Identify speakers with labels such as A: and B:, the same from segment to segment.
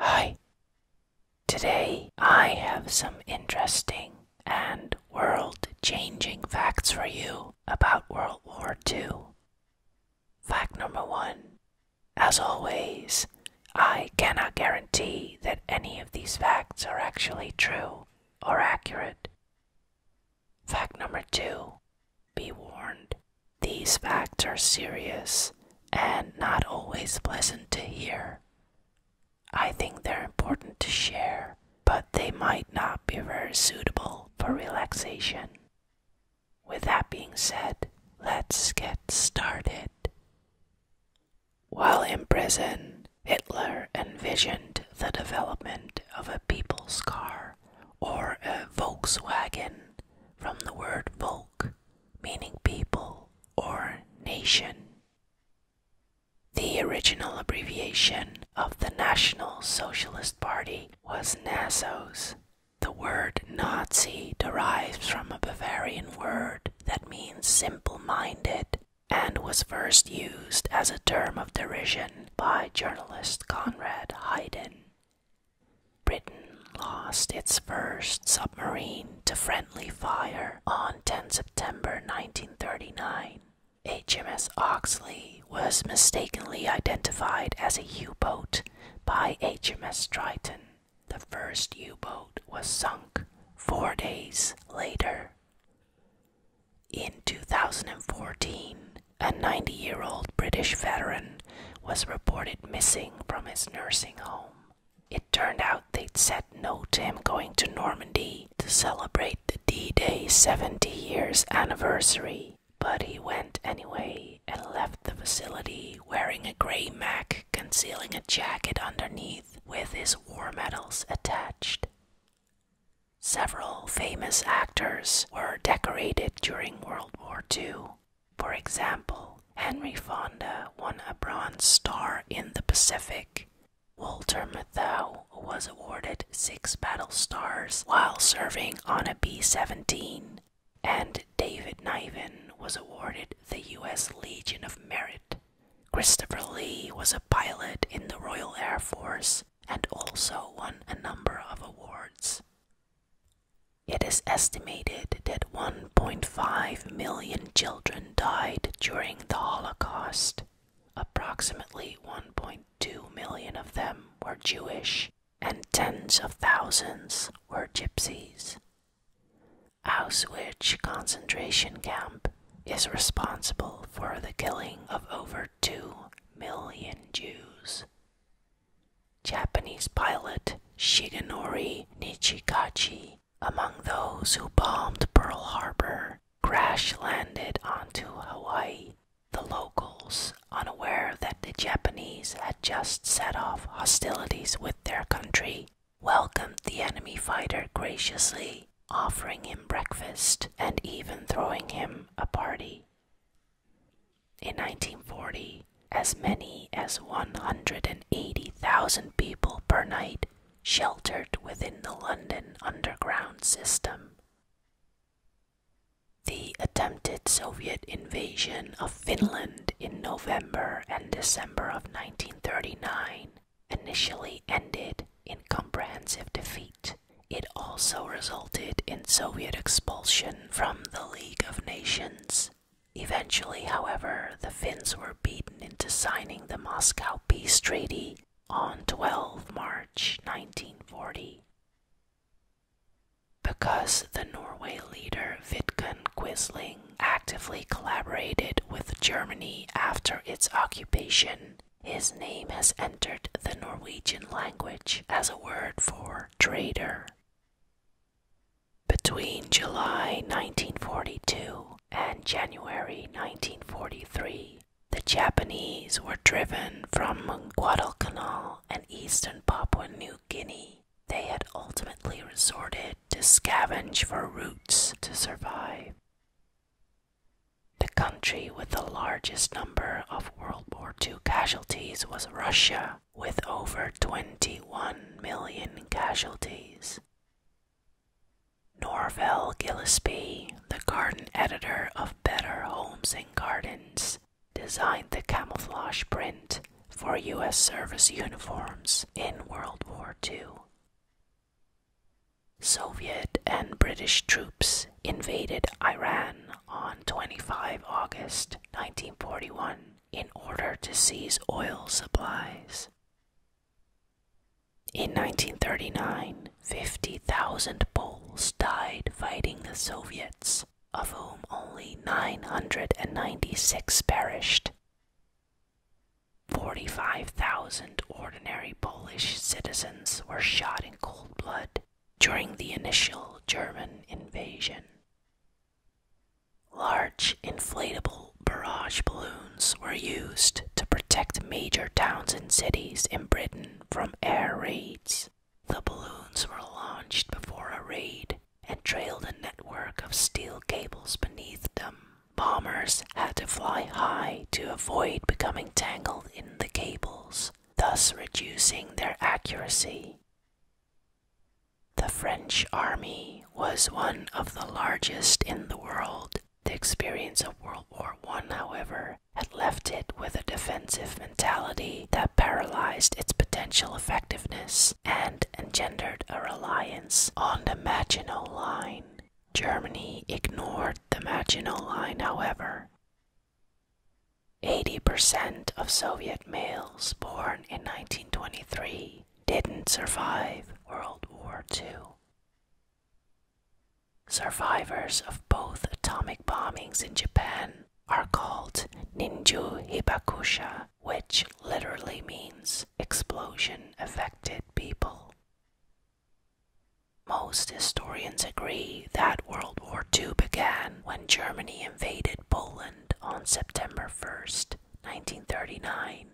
A: Hi. Today I have some interesting and world changing facts for you about World War II. Fact number one As always, I cannot guarantee that any of these facts are actually true or accurate. Fact number two Be warned, these facts are serious and not always pleasant to hear. I think they're important to share, but they might not be very suitable for relaxation. With that being said, let's get started. While in prison, Hitler envisioned the development of a people's car or a Volkswagen from the word Volk, meaning people or nation. The original abbreviation of the National Socialist Party was NASOS. The word Nazi derives from a Bavarian word that means simple minded and was first used as a term of derision by journalist Conrad Hayden Britain lost its first submarine to friendly fire on 10 September 1939. HMS Oxley was mistakenly identified as a U boat by HMS Triton. The first U boat was sunk four days later. In 2014, a 90 year old British veteran was reported missing from his nursing home. It turned out they'd said no to him going to Normandy to celebrate the D Day 70 years anniversary, but he went anyway and left the facility wearing a gray mac concealing a jacket underneath with his war medals attached. Several famous actors were decorated during World War II, for example, Henry Fonda won a Bronze Star in the Pacific. Walter Matthau was awarded six battle stars while serving on a B 17, and David Niven was awarded the U.S. Legion of Merit. Christopher Lee was a pilot in the Royal Air Force and also won a number of awards. It is estimated that 1.5 million children died during the Holocaust. Approximately 1.2 million of them were Jewish, and tens of thousands were gypsies. Auschwitz concentration camp is responsible for the killing of over 2 million Jews. Japanese pilot Shigenori Nichikachi, among those who bombed Pearl Harbor, crash landed onto Hawaii. The locals, unaware that the Japanese had just set off hostilities with their country, welcomed the enemy fighter graciously, offering him breakfast and even throwing him a party. In 1940, as many as 180,000 people per night sheltered within the London Underground system. The attempted Soviet invasion of Finland in November and December of 1939 initially ended in comprehensive defeat. It also resulted in Soviet expulsion from the League of Nations Eventually, however, the Finns were beaten into signing the Moscow Peace Treaty on 12 March 1940. Because the Norway leader Vidkun Quisling actively collaborated with Germany after its occupation, his name has entered the Norwegian language as a word for traitor. Between July 1942 and January 1943, the Japanese were driven from Guadalcanal and eastern Papua New Guinea. They had ultimately resorted to scavenge for roots to survive. The country with the largest number of World War II casualties was Russia, with over 21 million casualties. Norval Gillespie, the garden editor of Better Homes and Gardens, designed the camouflage print for U.S. service uniforms in World War II. Soviet and British troops invaded Iran on 25 August 1941 in order to seize oil supplies. In 1939, 50,000 Poles died fighting the Soviets, of whom only 996 perished. 45,000 ordinary Polish citizens were shot in cold blood during the initial German invasion. Large inflatable barrage balloons were used to protect major towns and cities in Britain from air raids. The balloons were launched before a raid and trailed a network of steel cables beneath them. Bombers had to fly high to avoid becoming tangled in the cables, thus reducing their accuracy. The French army was one of the largest in the world. The experience of World War One, however, had left it with a defensive mentality that paralyzed its potential effectiveness and engendered a reliance on the Maginot Line. Germany ignored the Maginot Line, however. 80% of Soviet males born in 1923 didn't survive World War II. Survivors of both atomic bombings in Japan are called Ninju Hibakusha, which literally means explosion affected people. Most historians agree that World War II began when Germany invaded Poland on September first. 1939.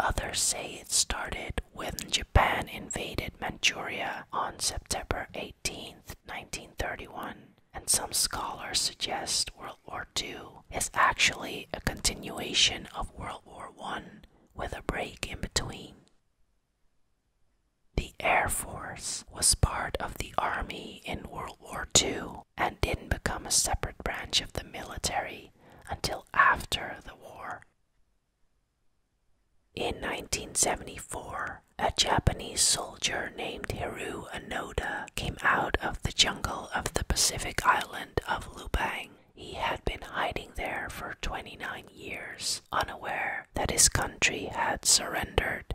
A: Others say it started when Japan invaded Manchuria on September 18, 1931, and some scholars suggest World War II is actually a continuation of World War I with a break in between. The Air Force was part of the Army in World War II and didn't become a separate branch of the military until after the war. In 1974, a Japanese soldier named Hiru Onoda came out of the jungle of the Pacific island of Lubang. He had been hiding there for 29 years, unaware that his country had surrendered.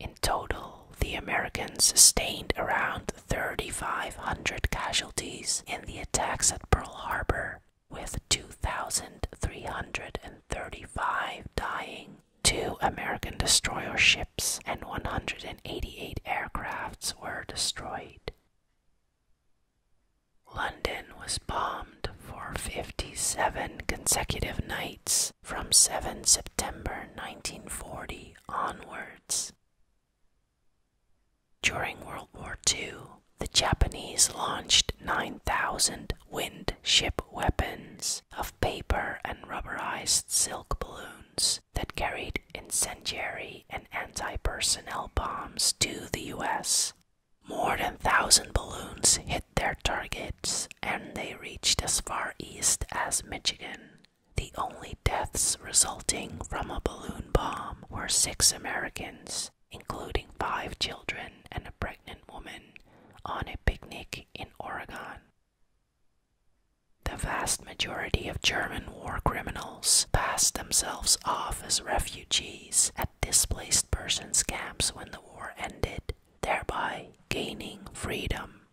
A: In total, the Americans sustained around 3,500 casualties in the attacks at Pearl Harbor, with 2,335 dying. Two American destroyer ships and 188 aircrafts were destroyed. London was bombed for 57 consecutive nights from 7 September 1940 onwards. During World War II, the Japanese launched 9,000 windship weapons of paper and rubberized silk balloons that carried incendiary and anti personnel bombs to the US. More than 1,000 balloons hit their targets and they reached as far east as Michigan. The only deaths resulting from a balloon bomb were six Americans, including five children and a pregnant woman, on a picnic in Oregon. The vast majority of German war criminals passed themselves off as refugees at displaced persons camps when the war ended, thereby gaining freedom.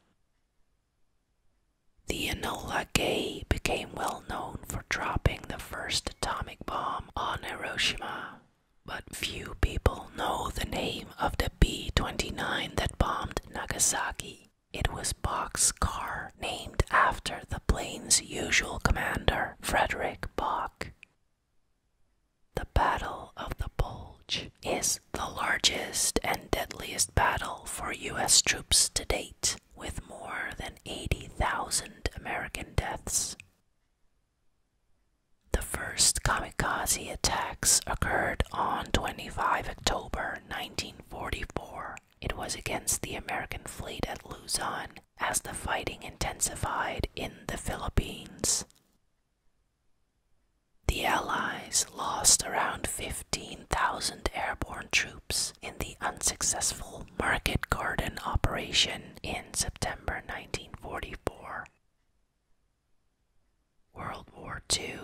A: The Enola Gay became well known for dropping the first atomic bomb on Hiroshima, but few people know the name of the B 29 that bombed Nagasaki. It was Boxcar, named after the plane's usual commander, Frederick Bock. The Battle of the Bulge is the largest and deadliest battle for U.S. troops to date, with more than 80,000 American deaths. The first kamikaze attacks occurred on 25 October 1944. It was against the American fleet at Luzon as the fighting intensified in the Philippines. The Allies lost around 15,000 airborne troops in the unsuccessful Market Garden operation in September 1944. World War II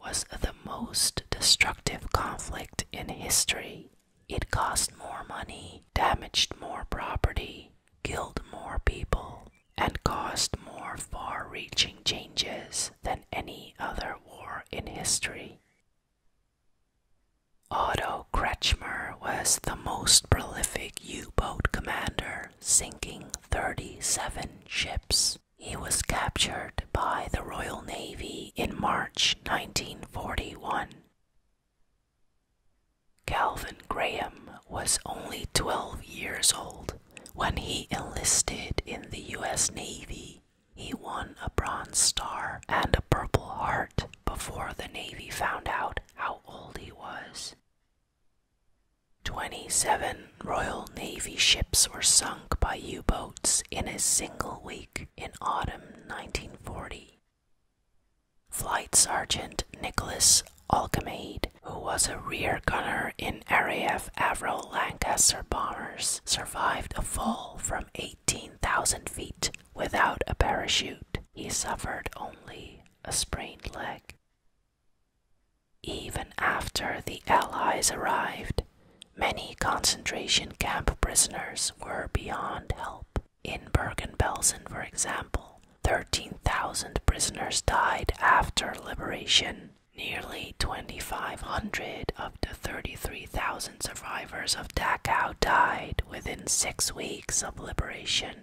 A: was the most destructive conflict in history. It cost more money, damaged more property, killed more people, and caused more far reaching changes than any other war in history. Otto Kretschmer was the most prolific U boat commander, sinking 37 ships. He was captured by the Royal Navy in March 1941. Calvin Graham was only 12 years old when he enlisted in the US Navy, he won a Bronze Star and a Purple Heart before the Navy found out how old he was. 27 Royal Navy ships were sunk by U boats in a single week in autumn 1940. Flight Sergeant Nicholas Alcamade, who was a rear gunner in. Canadian RAF Avro Lancaster bombers survived a fall from 18,000 feet without a parachute. He suffered only a sprained leg. Even after the Allies arrived, many concentration camp prisoners were beyond help. In Bergen-Belsen, for example, 13,000 prisoners died after liberation Nearly 2,500 of the 33,000 survivors of Dachau died within six weeks of liberation.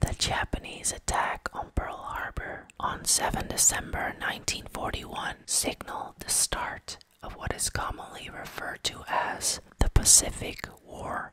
A: The Japanese attack on Pearl Harbor on 7 December 1941 signaled the start of what is commonly referred to as the Pacific War.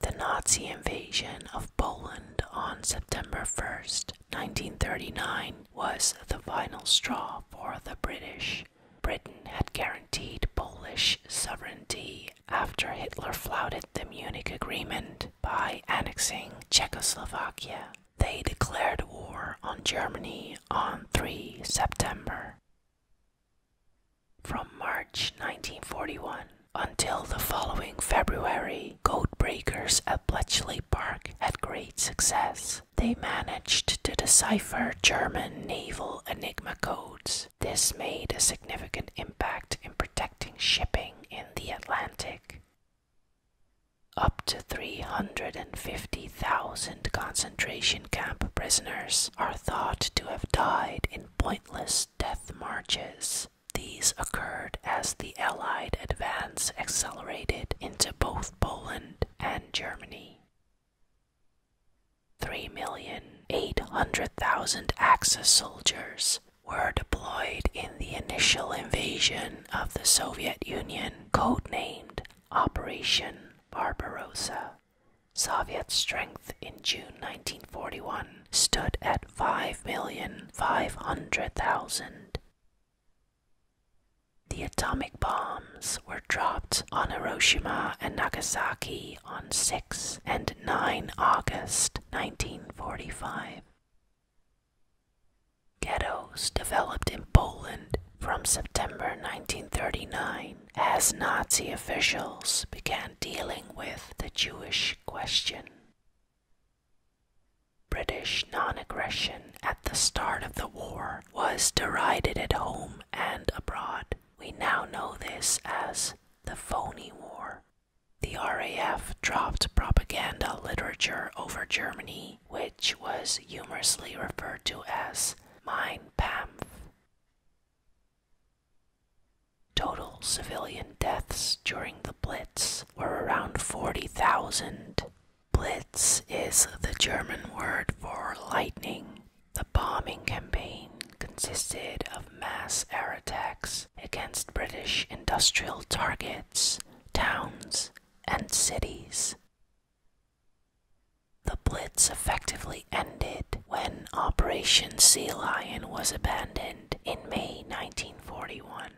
A: The Nazi invasion of Poland on September 1st, 1939, was the final straw for the British. Britain had guaranteed Polish sovereignty after Hitler flouted the Munich Agreement by annexing Czechoslovakia. They declared war on Germany on 3 September. From March 1941 until the following February, codebreakers at Bletchley Park had great success. They managed to decipher German naval enigma codes. This made a significant impact in protecting shipping in the Atlantic. Up to 350,000 concentration camp prisoners are thought to have died in pointless death marches. These occurred as the Allied advance accelerated into both Poland and Germany. 3,800,000 Axis soldiers were deployed in the initial invasion of the Soviet Union, codenamed Operation Barbarossa. Soviet strength in June 1941 stood at 5,500,000. The atomic bombs were dropped on Hiroshima and Nagasaki on 6 and 9 August 1945. Ghettos developed in Poland from September 1939 as Nazi officials began dealing with the Jewish question. British non aggression at the start of the war was derided at home and abroad. We now know this as the Phony War. The RAF dropped propaganda literature over Germany, which was humorously referred to as "mine Kampf. Total civilian deaths during the Blitz were around 40,000. Blitz is the German word for lightning. The bombing campaign consisted of mass air attacks against British industrial targets, towns, and cities. The Blitz effectively ended when Operation Sea Lion was abandoned in May 1941.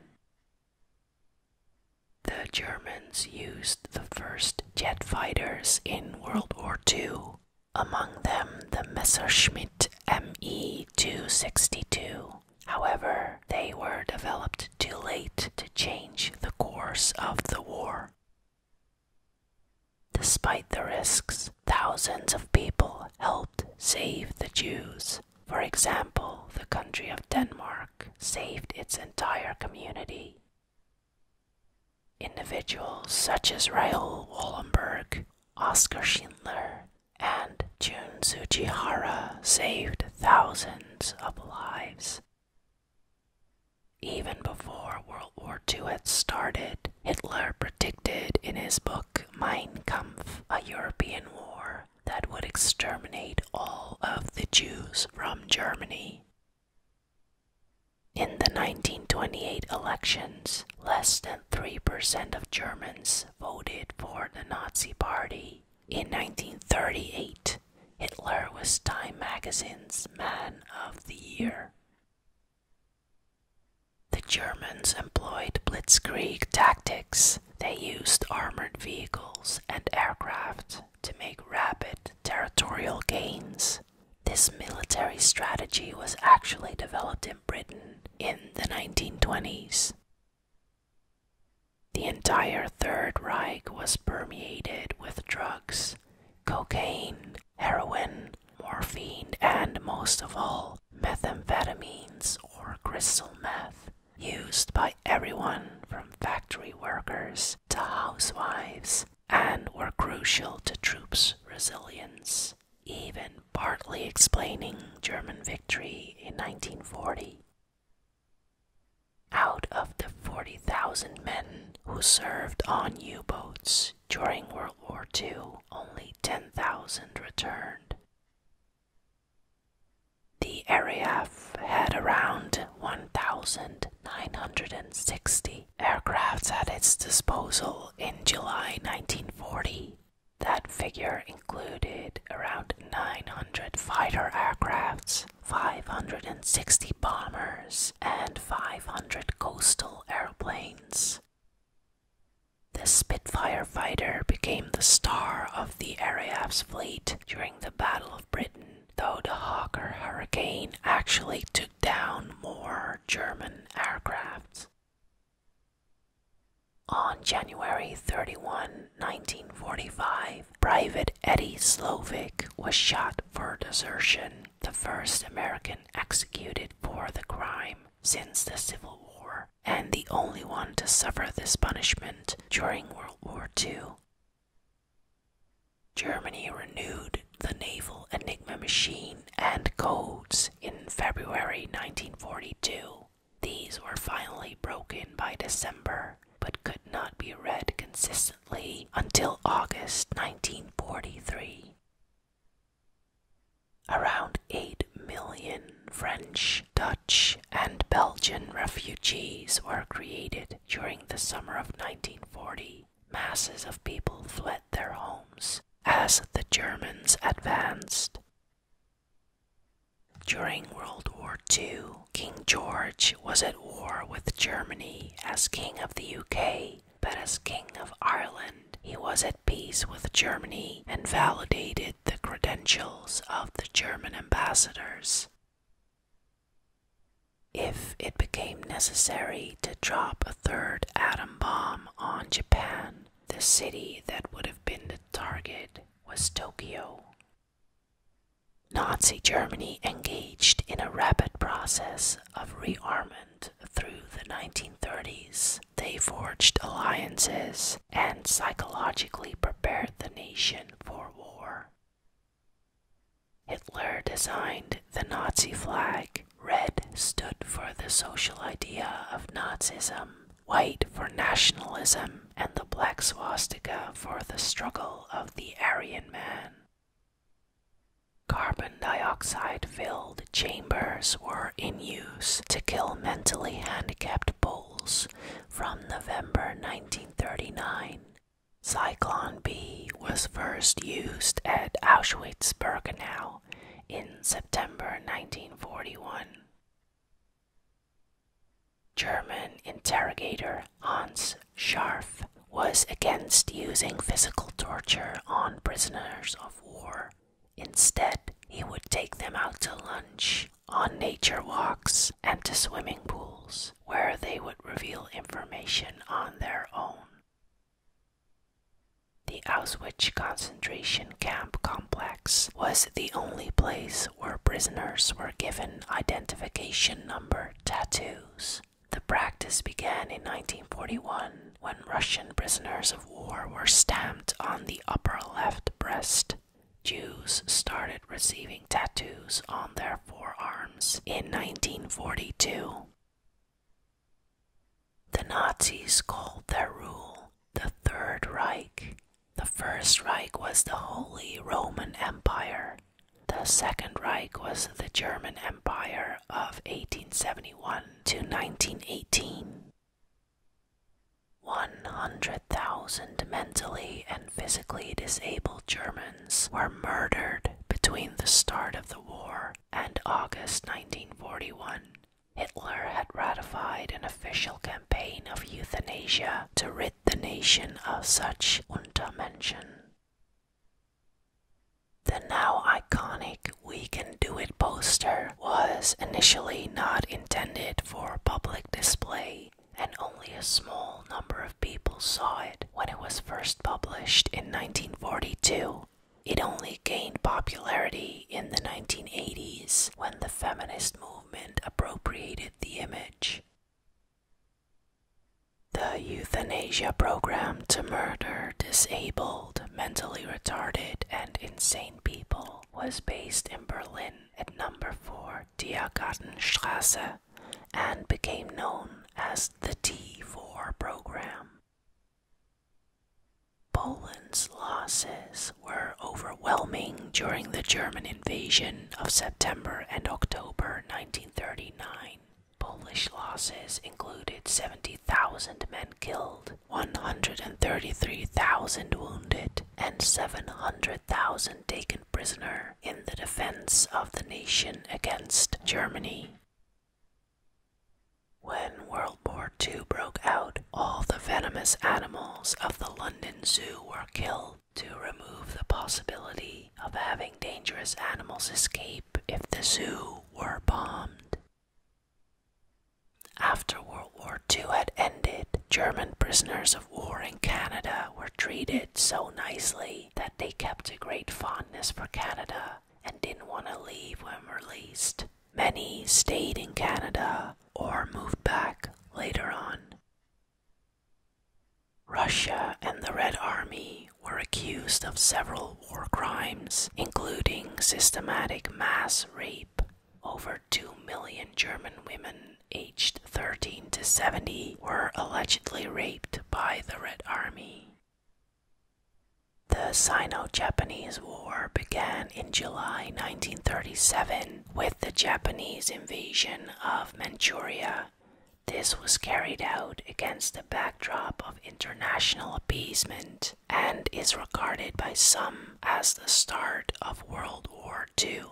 A: The Germans used the first jet fighters in World War II, among them the Messerschmitt ME 262. However, they were developed too late to change the course of the war. Despite the risks, thousands of people helped save the Jews. For example, the country of Denmark saved its entire community. Individuals such as Raoul Wallenberg, Oscar Schindler, and Jun Tsujihara saved thousands of lives. Even before World War II had started, Hitler predicted in his book Mein Kampf, a European war, that would exterminate all of the Jews from Germany. In the 1928 elections, less than 3% of Germans voted for the Nazi Party. In 1938, Hitler was Time magazine's Man of the Year. The Germans employed blitzkrieg tactics they used armored vehicles and aircraft to make rapid territorial gains. This military strategy was actually developed in Britain in the 1920s. The entire Third Reich was permeated with drugs cocaine, heroin, morphine, and most of all, methamphetamines or crystal meth used by everyone from factory workers to housewives and were crucial to troops' resilience, even partly explaining German victory in 1940. Out of the 40,000 men who served on U boats during World War II, only 10,000 returned. The area had around 1,960 aircrafts at its disposal in July 1940. That figure included around 900 fighter aircrafts, 560 bombers, and 500 coastal airplanes. The Spitfire fighter became the star of the RAF's fleet during the Battle of Britain, though the Hawker Hurricane actually took down more German aircraft. On January 31, 1945, Private Eddie Slovak was shot for desertion, the first American executed for the crime since the Civil War and the only one to suffer this punishment during World War II. Germany renewed the naval Enigma machine and codes in February 1942. These were finally broken by December but could not be read consistently until August 1943. Around 8 million French Dutch, and Belgian refugees were created during the summer of 1940. Masses of people fled their homes as the Germans advanced. During World War II, King George was at war with Germany as King of the UK, but as King of Ireland, he was at peace with Germany and validated the credentials of the German ambassadors. If it became necessary to drop a third atom bomb on Japan, the city that would have been the target was Tokyo. Nazi Germany engaged in a rapid process of rearmament through the 1930s. They forged alliances and psychologically prepared the nation for war. Hitler designed the Nazi flag. Red stood for the social idea of Nazism, white for nationalism, and the black swastika for the struggle of the Aryan man. Carbon dioxide filled chambers were in use to kill mentally handicapped Poles from November 1939, Cyclone B was first used at Auschwitz Birkenau in September 1941. German interrogator Hans Scharf was against using physical torture on prisoners of war. Instead, he would take them out to lunch on nature walks and to swimming pools, where they would reveal information on their own. The Auschwitz concentration camp complex was the only place where prisoners were given identification number tattoos. The practice began in 1941 when Russian prisoners of war were stamped on the upper left breast Jews started receiving tattoos on their forearms in 1942. The Nazis called their rule the Third Reich. The First Reich was the Holy Roman Empire. The Second Reich was the German Empire of 1871 to 1918. 100,000 mentally and physically disabled Germans were murdered between the start of the war and August 1941. Hitler had ratified an official campaign of euthanasia to rid the nation of such Untermenschen. The now iconic We Can Do It poster was initially not intended for public display, and only a small number of people saw it when it was first published in 1942. It only gained popularity in the 1980s when the feminist movement appropriated the image. The euthanasia program to murder disabled, mentally retarded, and insane people was based in Berlin at number 4 Diergartenstrasse and became known as the T4 program. Poland's losses were overwhelming during the German invasion of September and October 1939. Polish losses included 70,000 men killed, 133,000 wounded, and 700,000 taken prisoner in the defense of the nation against Germany. When World War II broke out, all the venomous animals of the London Zoo were killed to remove the possibility of having dangerous animals escape if the zoo were bombed. After World War II had ended, German prisoners of war in Canada were treated so nicely that they kept a great fondness for Canada and didn't want to leave when released. Many stayed in Canada or moved back later on. Russia and the Red Army were accused of several war crimes, including systematic mass rape over 2 million German women aged 13 to 70 were allegedly raped by the Red Army. The Sino Japanese War began in July 1937 with the Japanese invasion of Manchuria. This was carried out against the backdrop of international appeasement and is regarded by some as the start of World War II.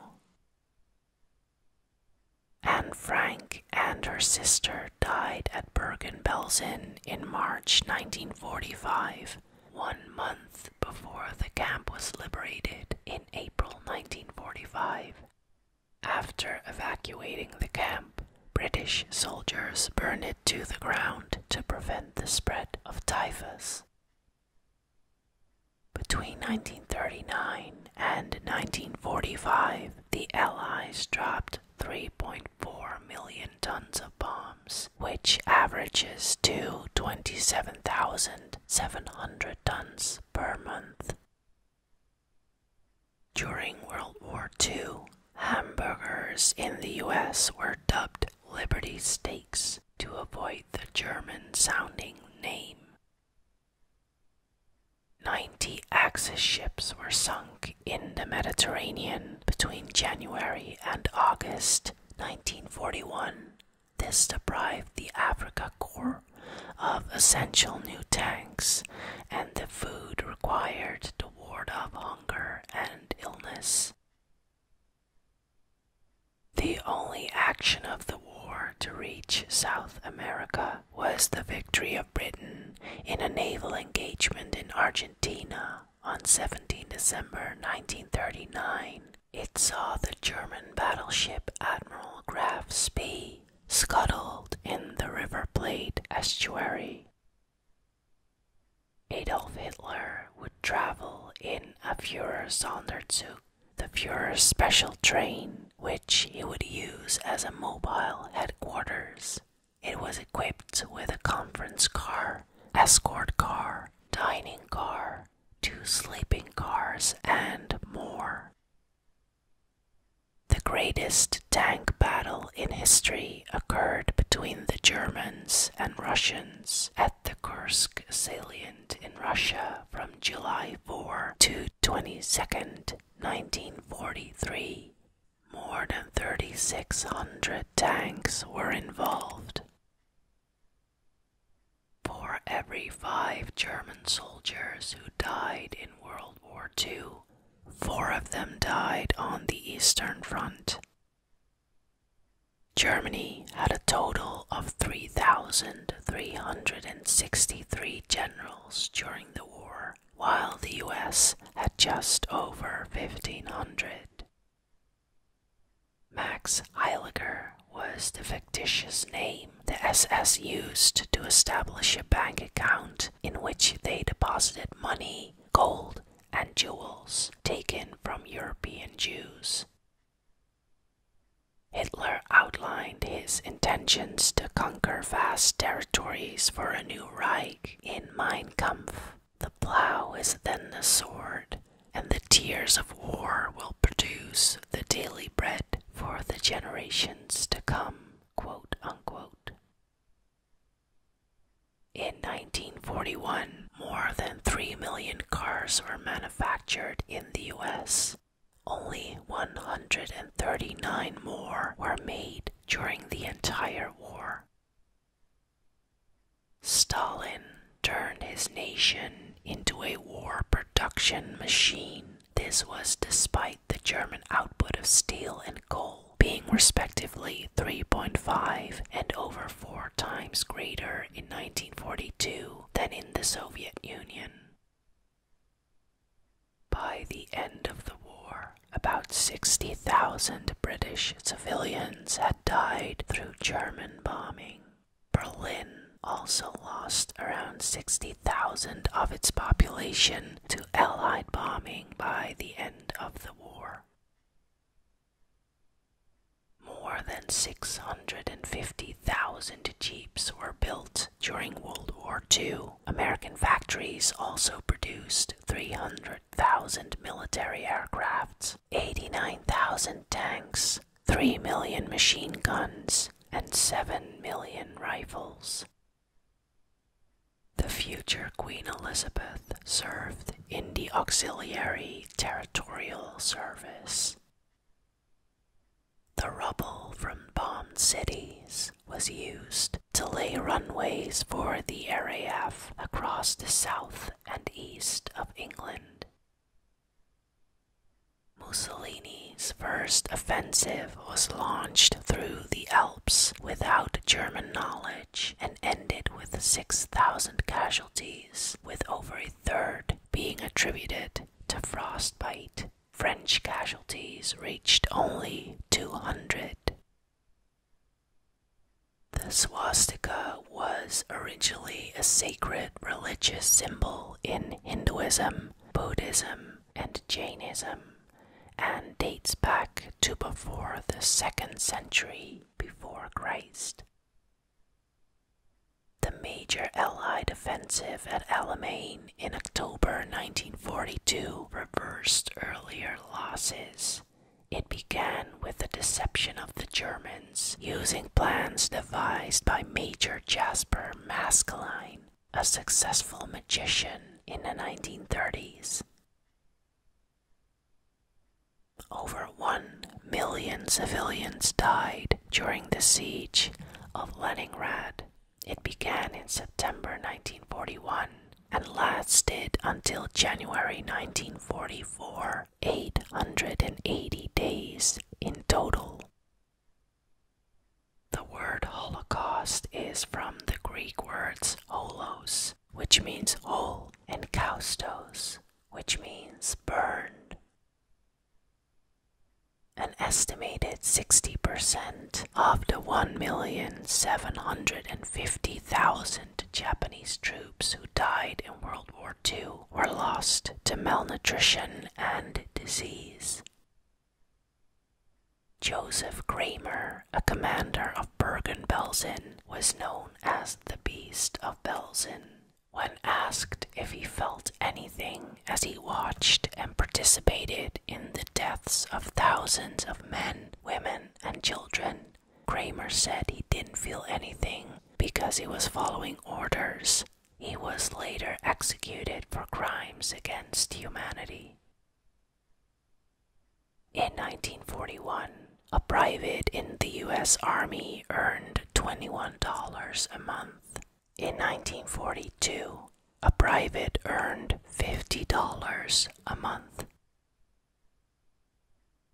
A: Anne Frank and her sister died at Bergen-Belsen in March 1945, one month before the camp was liberated in April 1945. After evacuating the camp, British soldiers burned it to the ground to prevent the spread of typhus. Between 1939 and 1945, the Allies dropped 3.4 million tons of bombs, which averages to 27,700 tons per month. During World War II, hamburgers in the US were dubbed Liberty Steaks to avoid the German sounding name. Ninety Axis ships were sunk in the Mediterranean between January and August 1941. This deprived the Africa Corps of essential new tanks and the food required to ward off hunger and illness. The only action of the war to reach South America was the victory of Britain in a naval engagement in Argentina on 17 December 1939. It saw the German battleship Admiral Graf Spee scuttled in the River Plate estuary. Adolf Hitler would travel in a Führer Sonderzug the Fuhrer's special train, which he would use as a mobile headquarters. It was equipped with a conference car, escort car, dining car, two sleeping cars, and more. The greatest tank battle in history occurred between the Germans and Russians at the Kursk salient in Russia from July 4 to 22, 1943. More than 3,600 tanks were involved. For every five German soldiers who died in World War II, four of them died on the Eastern Front. Germany had a total of 3,363 generals during the war, while the US had just over 1,500. Max Heiliger was the fictitious name the SS used to establish a bank account in which they deposited money, gold, and jewels taken from European Jews. Hitler outlined his intentions to conquer vast territories for a new Reich in Mein Kampf. The plow is then the sword, and the tears of war will produce the daily bread for the generations to come. In 1941, more than 3 million cars were manufactured in in the US. Only 139 more were made during the entire war. Stalin turned his nation into a war production machine. This was despite the German output of steel and coal being respectively 3.5 and over 4 times greater in 1942 than in the Soviet Union. By the end of the war, about 60,000 British civilians had died through German bombing. Berlin also lost around 60,000 of its population to Allied bombing by the end of the war. More than 650,000 Jeeps were built during World War II. American factories also produced 300,000 military aircrafts, 89,000 tanks, 3 million machine guns, and 7 million rifles. The future Queen Elizabeth served in the Auxiliary Territorial Service. The rubble from bombed cities was used to lay runways for the RAF across the south and east of England. Mussolini's first offensive was launched through the Alps without German knowledge and ended with 6,000 casualties, with over a third being attributed to frostbite. French casualties reached only 200. The swastika was originally a sacred religious symbol in Hinduism, Buddhism, and Jainism, and dates back to before the 2nd century before Christ. The major Allied offensive at Alamein in October 1942 reversed earlier losses. It began with the deception of the Germans using plans devised by Major Jasper Maskelyne, a successful magician in the 1930s. Over one million civilians died during the siege of Leningrad. It began in September 1941 and lasted until January 1944, 880 days in total. The word Holocaust is from the Greek words holos, which means whole, and kaustos, which means burned. An estimated 60% of the 1,750,000 Japanese troops who died in World War II were lost to malnutrition and disease. Joseph Kramer, a commander of Bergen-Belsen, was known as the Beast of Belsen. When asked if he felt anything as he watched and participated in the deaths of thousands of men, women, and children, Kramer said he didn't feel anything because he was following orders. He was later executed for crimes against humanity. In 1941, a private in the US Army earned $21 a month in 1942, a private earned $50 a month.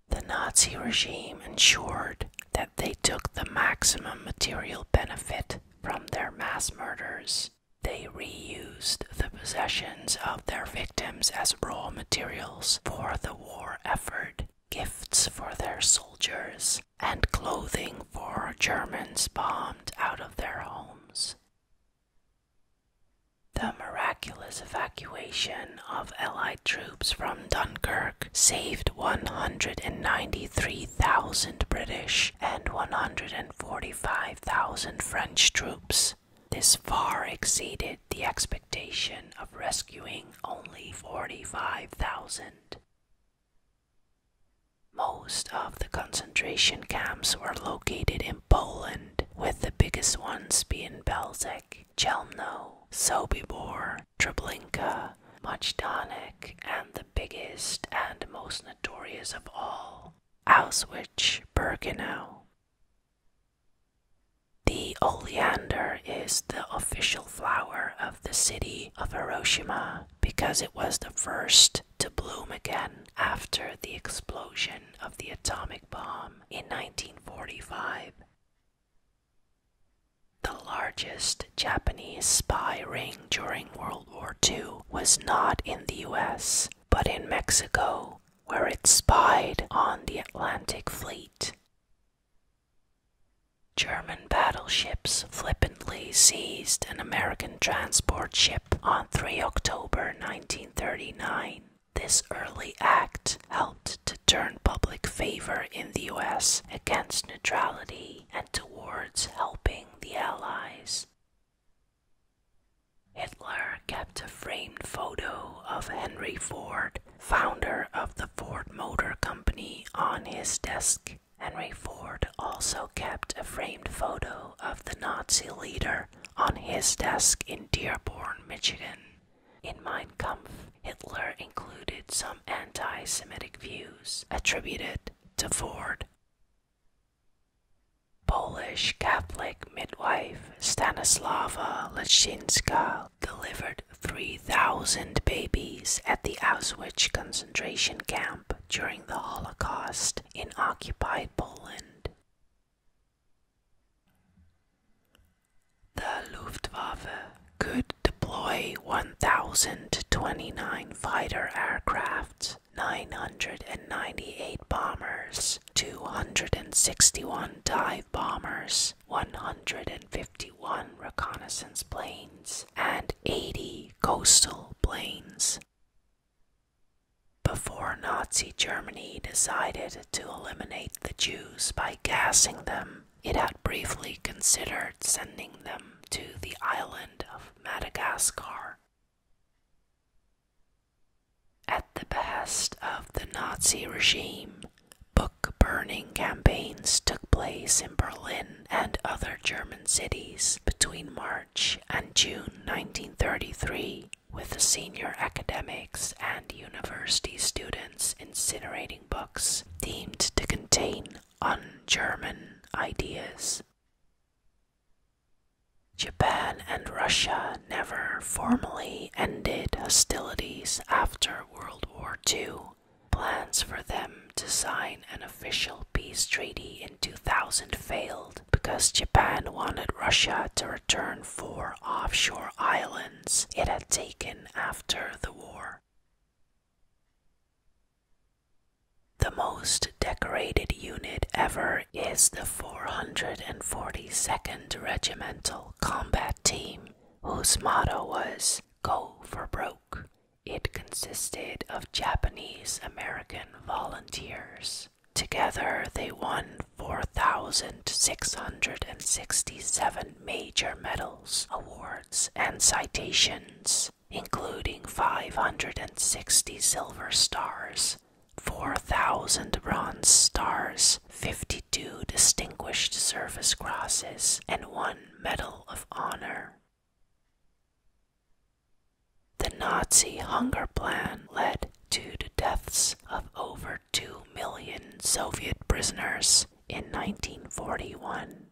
A: The Nazi regime ensured that they took the maximum material benefit from their mass murders. They reused the possessions of their victims as raw materials for the war effort gifts for their soldiers, and clothing for Germans bombed out of their homes. The miraculous evacuation of Allied troops from Dunkirk saved 193,000 British and 145,000 French troops. This far exceeded the expectation of rescuing only 45,000. Most of the concentration camps were located in Poland, with the biggest ones being Belzec, Chelmno, Sobibor, Treblinka, Majdanek, and the biggest and most notorious of all, Auschwitz Birkenau. The oleander is the official flower of the city of Hiroshima because it was the first to bloom again after the explosion of the atomic bomb in 1945. The largest Japanese spy ring during World War II was not in the US, but in Mexico, where it spied on the Atlantic Fleet. German battleships flippantly seized an American transport ship on 3 October 1939. This early act helped to turn public favor in the US against neutrality and towards helping the Allies. Hitler kept a framed photo of Henry Ford, founder of the Ford Motor Company, on his desk. Henry Ford also kept a framed photo of the Nazi leader on his desk in Dearborn, Michigan. In Mein Kampf, Hitler included some anti Semitic views attributed to Ford. Polish Catholic midwife Stanislawa Lachinska delivered 3,000 babies at the Auschwitz concentration camp during the Holocaust in occupied Poland. The Luftwaffe could deploy 1,029 fighter aircraft, 998 bombers, 261 dive bombers, 150 51 reconnaissance planes and 80 coastal planes. Before Nazi Germany decided to eliminate the Jews by gassing them, it had briefly considered sending them to the island of Madagascar. At the behest of the Nazi regime, Book burning campaigns took place in Berlin and other German cities between March and June 1933, with the senior academics and university students incinerating books deemed to contain un German ideas. Japan and Russia never formally ended hostilities after World War II, Plans for them to sign an official peace treaty in 2000 failed because Japan wanted Russia to return four offshore islands it had taken after the war. The most decorated unit ever is the 442nd Regimental Combat Team, whose motto was Go for Broke. It consisted of Japanese American volunteers. Together, they won 4,667 major medals, awards, and citations, including 560 silver stars, 4,000 bronze stars, 52 distinguished service crosses, and one medal of honor. The Nazi hunger plan led to the deaths of over 2 million Soviet prisoners in 1941.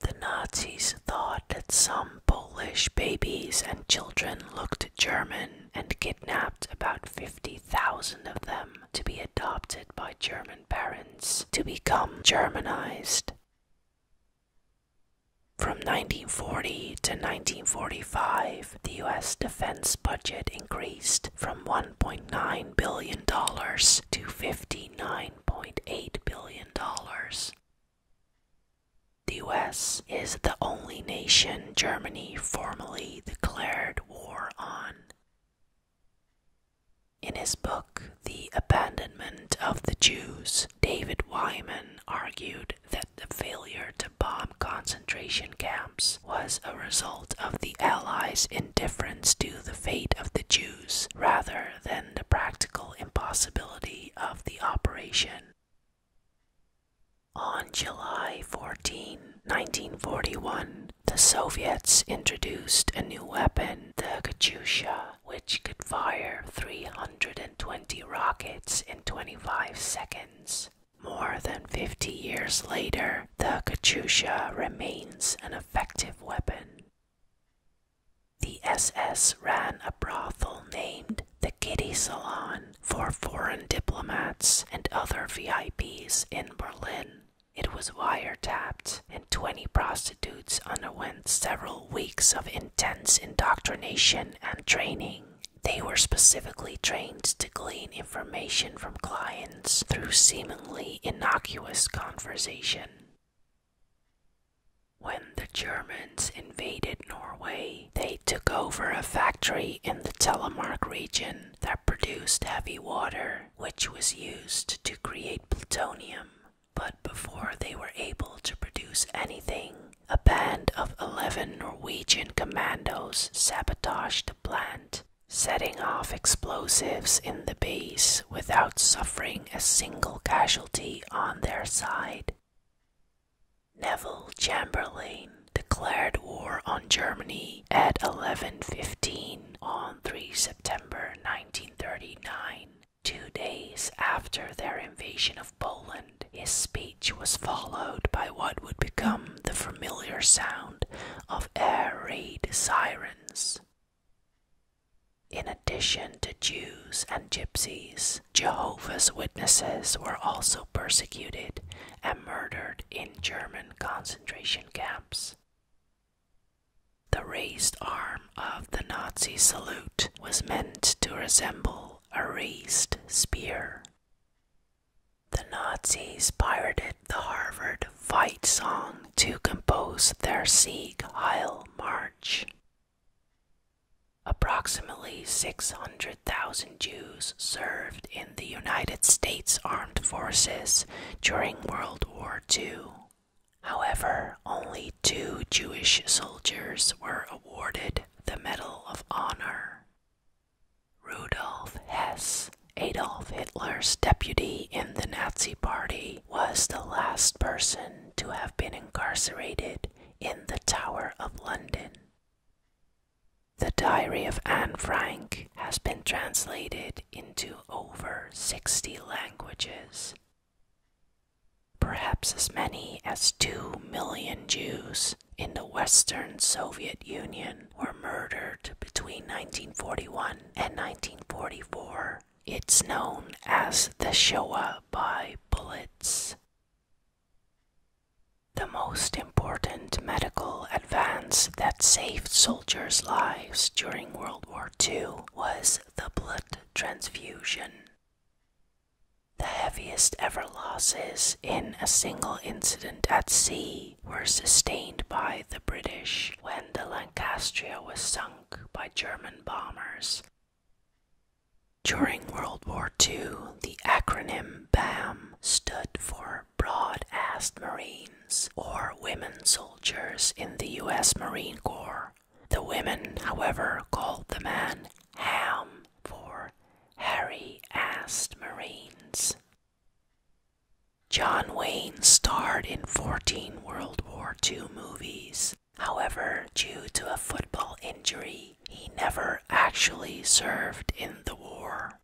A: The Nazis thought that some Polish babies and children looked German and kidnapped about 50,000 of them to be adopted by German parents to become Germanized. From 1940 to 1945, the US defense budget increased from $1.9 billion to $59.8 billion. The US is the only nation Germany formally declared war on. In his book, The Abandonment of the Jews, David Wyman argued that the failure to bomb concentration camps was a result of the Allies' indifference to the fate of the Jews rather than the practical impossibility of the operation. On July 14, 1941, the Soviets introduced a new weapon, the Katyusha, which could fire 320 rockets in 25 seconds. More than 50 years later, the Katyusha remains an effective weapon. The SS ran a brothel named the Kitty Salon for foreign diplomats and other VIPs in Berlin. It was wiretapped, and 20 prostitutes underwent several weeks of intense indoctrination and training. They were specifically trained to glean information from clients through seemingly innocuous conversation. When the Germans invaded Norway, they took over a factory in the Telemark region that produced heavy water which was used to create plutonium. But before they were able to produce anything, a band of 11 Norwegian commandos sabotaged the plant, setting off explosives in the base without suffering a single casualty on their side. Neville Chamberlain declared war on Germany at 11:15 on 3 September 1939. Two days after their invasion of Poland, his speech was followed by what would become the familiar sound of air raid sirens. In addition to Jews and Gypsies, Jehovah's Witnesses were also persecuted and murdered in German concentration camps. The raised arm of the Nazi salute was meant to resemble a raised spear. The Nazis pirated the Harvard fight song to compose their Sieg Heil March. Approximately 600,000 Jews served in the United States Armed Forces during World War However, only two Jewish soldiers were awarded the Medal of Honor. Rudolf Hess, Adolf Hitler's deputy in the Nazi Party, was the last person to have been incarcerated in the Tower of London. The Diary of Anne Frank has been translated into over 60 languages. Perhaps as many as 2 million Jews in the Western Soviet Union were murdered between 1941 and 1944. It's known as the Shoah by bullets. The most important medical advance that saved soldiers' lives during World World War II was the blood transfusion. The heaviest ever losses in a single incident at sea were sustained by the British when the Lancastria was sunk by German bombers. During World War II, the acronym BAM stood for Broad Assed Marine or women soldiers in the US Marine Corps. The women, however, called the man Ham for hairy assed Marines. John Wayne starred in 14 World War II movies. However, due to a football injury, he never actually served in the war.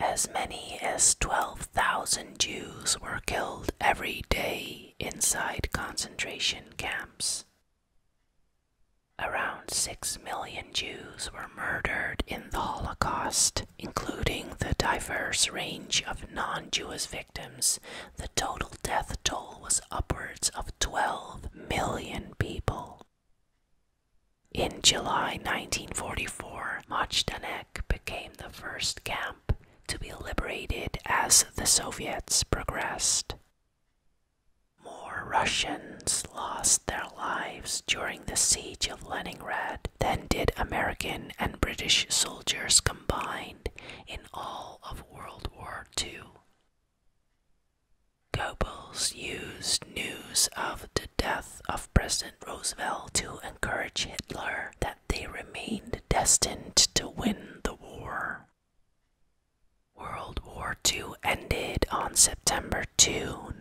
A: As many as 12,000 Jews were killed every day inside concentration camps. Around 6 million Jews were murdered in the Holocaust, including the diverse range of non Jewish victims. The total death toll was upwards of 12 million people. In July 1944, Majdanek became the first camp to be liberated as the Soviets progressed. More Russians lost their lives during the siege of Leningrad than did American and British soldiers combined in all of World War II. Goebbels used news of the death of President Roosevelt to encourage Hitler that they remained destined to win the war. World War II ended on September 2,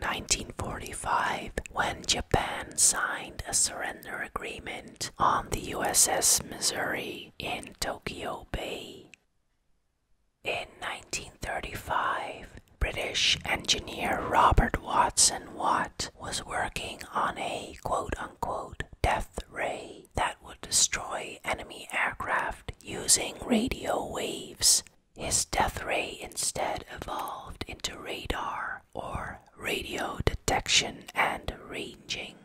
A: 1945, when Japan signed a surrender agreement on the USS Missouri in Tokyo Bay. In 1935, British engineer Robert Watson Watt was working on a quote unquote death ray that would destroy enemy aircraft using radio waves. His death ray instead evolved into radar or radio detection and ranging.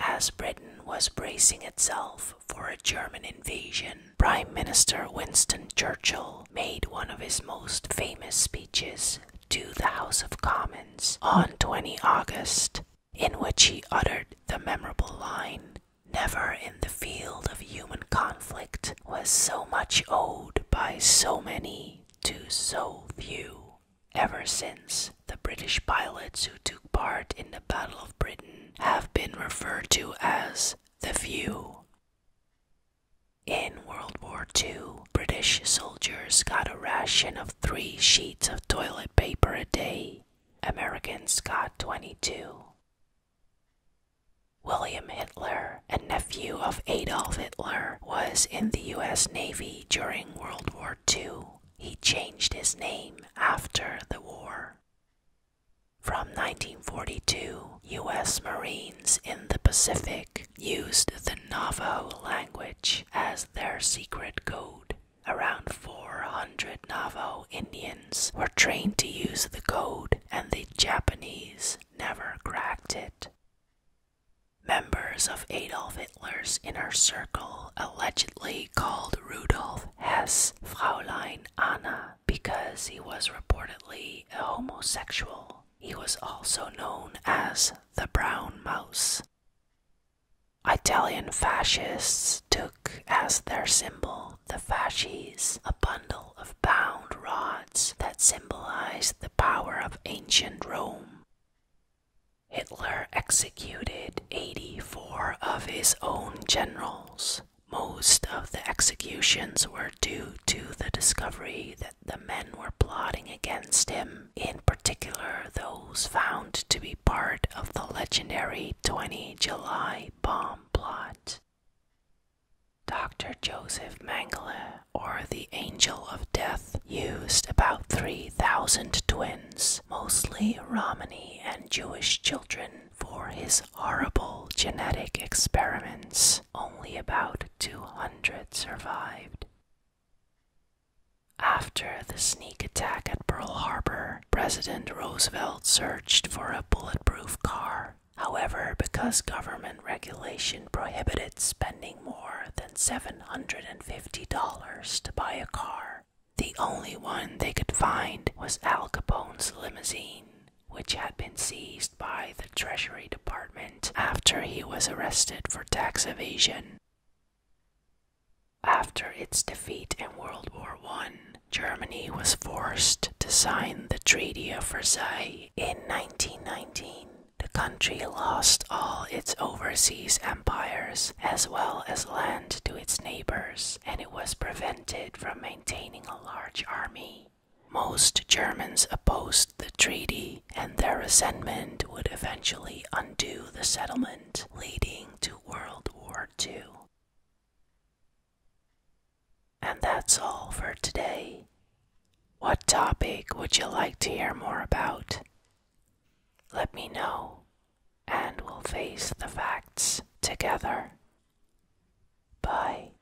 A: As Britain was bracing itself for a German invasion, Prime Minister Winston Churchill made one of his most famous speeches to the House of Commons on 20 August, in which he uttered the memorable line Never in the field of human conflict was so much owed by so many to so few. Ever since, the British pilots who took part in the Battle of Britain have been referred to as the few. In World War II, British soldiers got a ration of three sheets of toilet paper a day. Americans got 22. William Hitler, a nephew of Adolf Hitler, was in the US Navy during World War II. He changed his name after the war. From 1942, US Marines in the Pacific used the Navajo language as their secret code. Around 400 Navajo Indians were trained to use the code, and the Japanese never cracked it. Members of Adolf Hitler's inner circle allegedly called Rudolf Hess Fraulein Anna because he was reportedly a homosexual. He was also known as the Brown Mouse. Italian fascists took as their symbol the fasces, a bundle of bound rods that symbolized the power of ancient Rome. Hitler executed 84 of his own generals. Most of the executions were due to the discovery that the men were plotting against him, in particular those found to be part of the legendary 20 July bomb plot. Dr. Joseph Mengele, or the Angel of Death, used about 3,000 twins, mostly Romani and Jewish children, for his horrible genetic experiments. Only about 200 survived. After the sneak attack at Pearl Harbor, President Roosevelt searched for a bulletproof car. However, because government regulation prohibited spending more than $750 to buy a car, the only one they could find was Al Capone's limousine which had been seized by the Treasury Department after he was arrested for tax evasion. After its defeat in World War I, Germany was forced to sign the Treaty of Versailles in 1919. The country lost all its overseas empires as well as land to its neighbors, and it was prevented from maintaining a large army. Most Germans opposed the treaty, and their resentment would eventually undo the settlement, leading to World War II. And that's all for today. What topic would you like to hear more about? Let me know, and we'll face the facts together.
B: Bye.